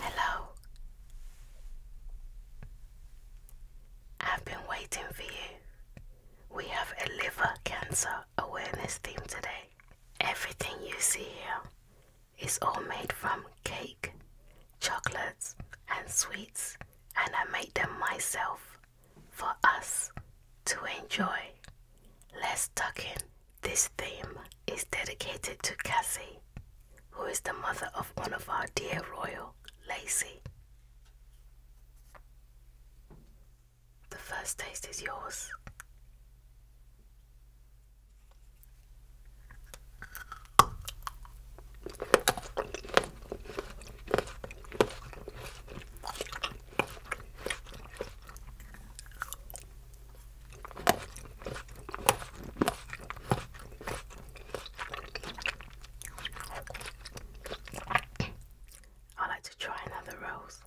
Hello. I've been waiting for you. We have a liver cancer awareness theme today. Everything you see here it's all made from cake, chocolates, and sweets, and I made them myself for us to enjoy. Let's tuck in. This theme is dedicated to Cassie, who is the mother of one of our dear royal, Lacy. The first taste is yours. I like to try another rose.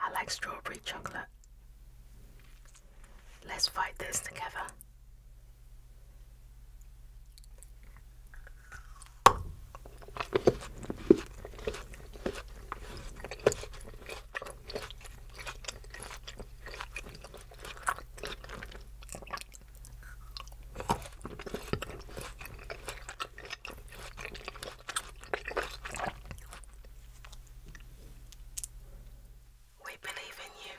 I like strawberry chocolate. Let's fight this together. We believe in you.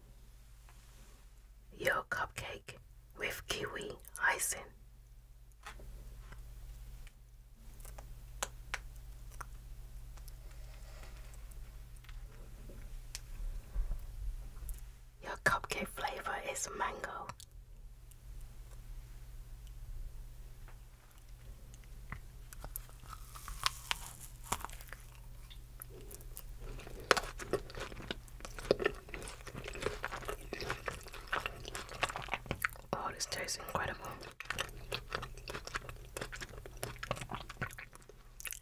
Your cupcake with kiwi icing. Your cupcake flavor is mango. Oh, this tastes incredible.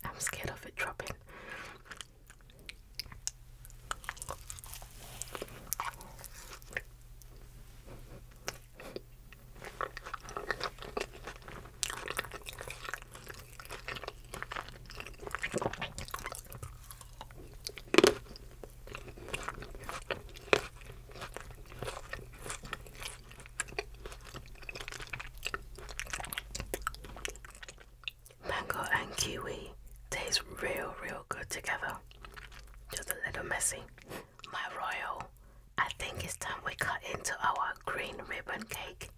I'm scared of it dropping. Mango and kiwi taste real, real good together. Just a little messy. My royal, I think it's time we cut into our green ribbon cake.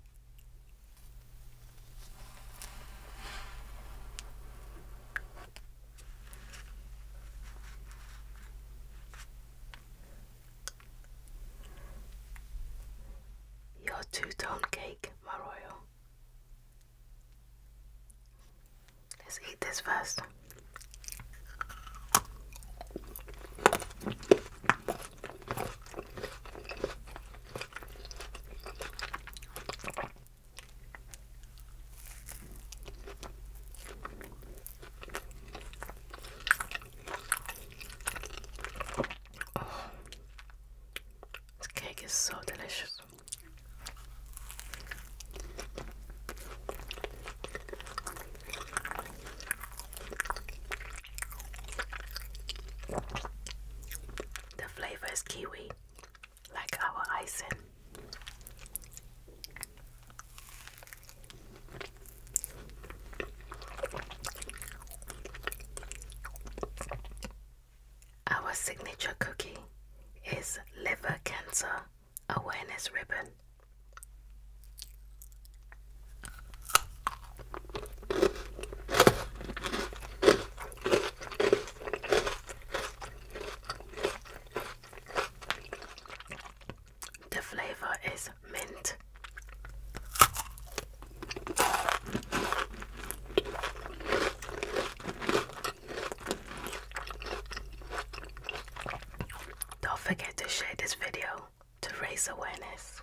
Your two-tone cake, my royal. Let's eat this first this cake is so delicious. The flavor is kiwi, like our icing. Our signature cookie is liver cancer awareness ribbon. The flavor is mint. Don't forget to share this video to raise awareness.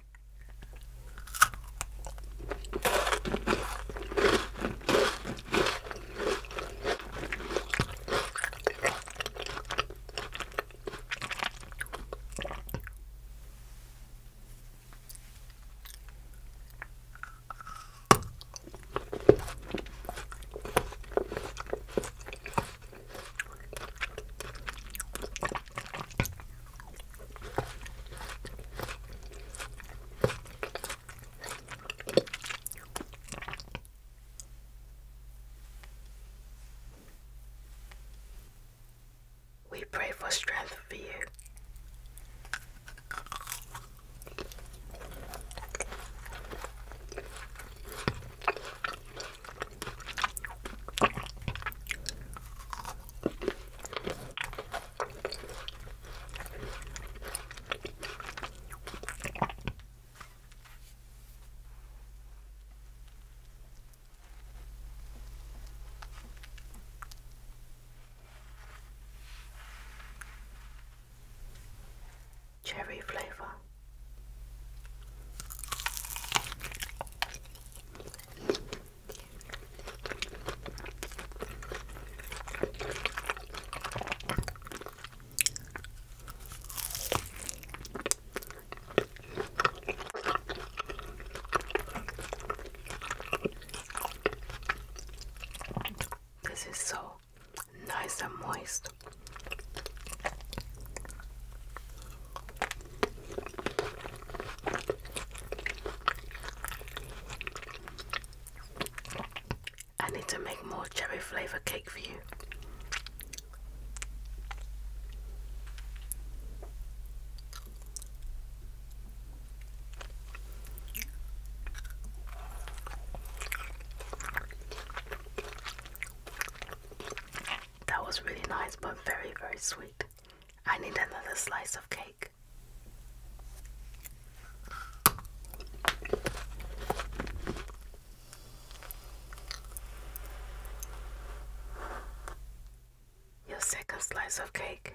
We pray for strength for you. Cherry flavour. This is so nice and moist. I need to make more cherry flavour cake for you. That was really nice, but very, very sweet. I need another slice of cake. Your second slice of cake.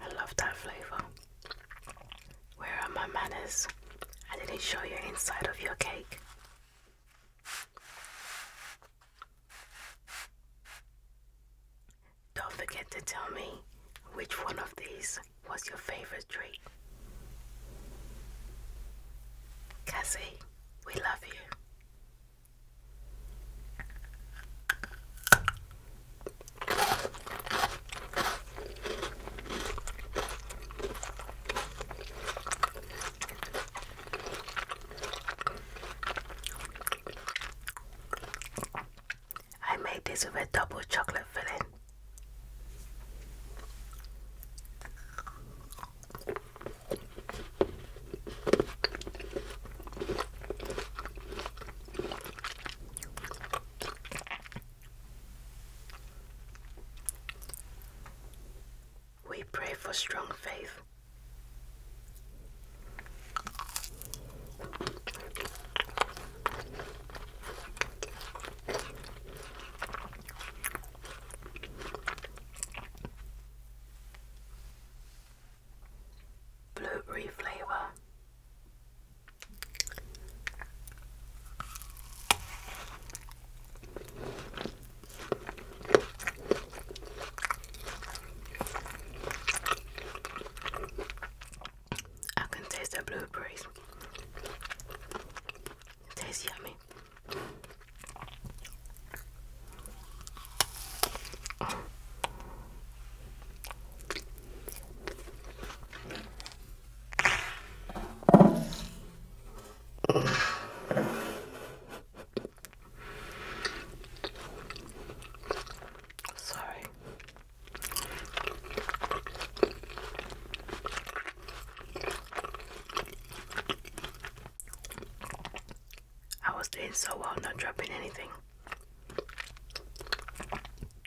I love that flavor. Where are my manners? I didn't show you inside of your cake. Don't forget to tell me which one of these was your favorite treat. Cassie, we love you. I made this with a double chocolate filling. We pray for strong faith. Blueberry flavor I can taste the blueberries. It tastes yummy. Sorry. I was doing so well, not dropping anything.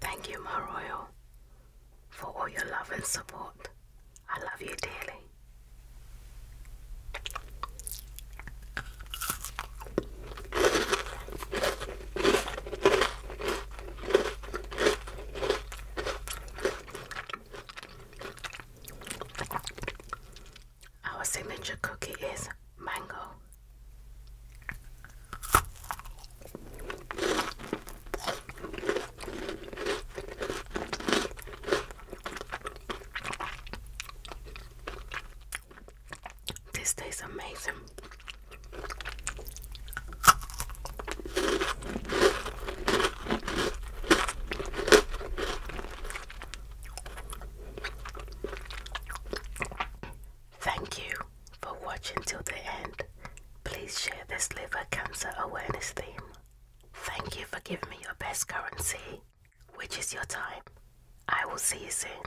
Thank you, my royal, for all your love and support. I love you dearly. Our signature cookie is mango. This tastes amazing. Thank you for watching till the end. Please share this liver cancer awareness theme. Thank you for giving me your best currency, which is your time. I will see you soon.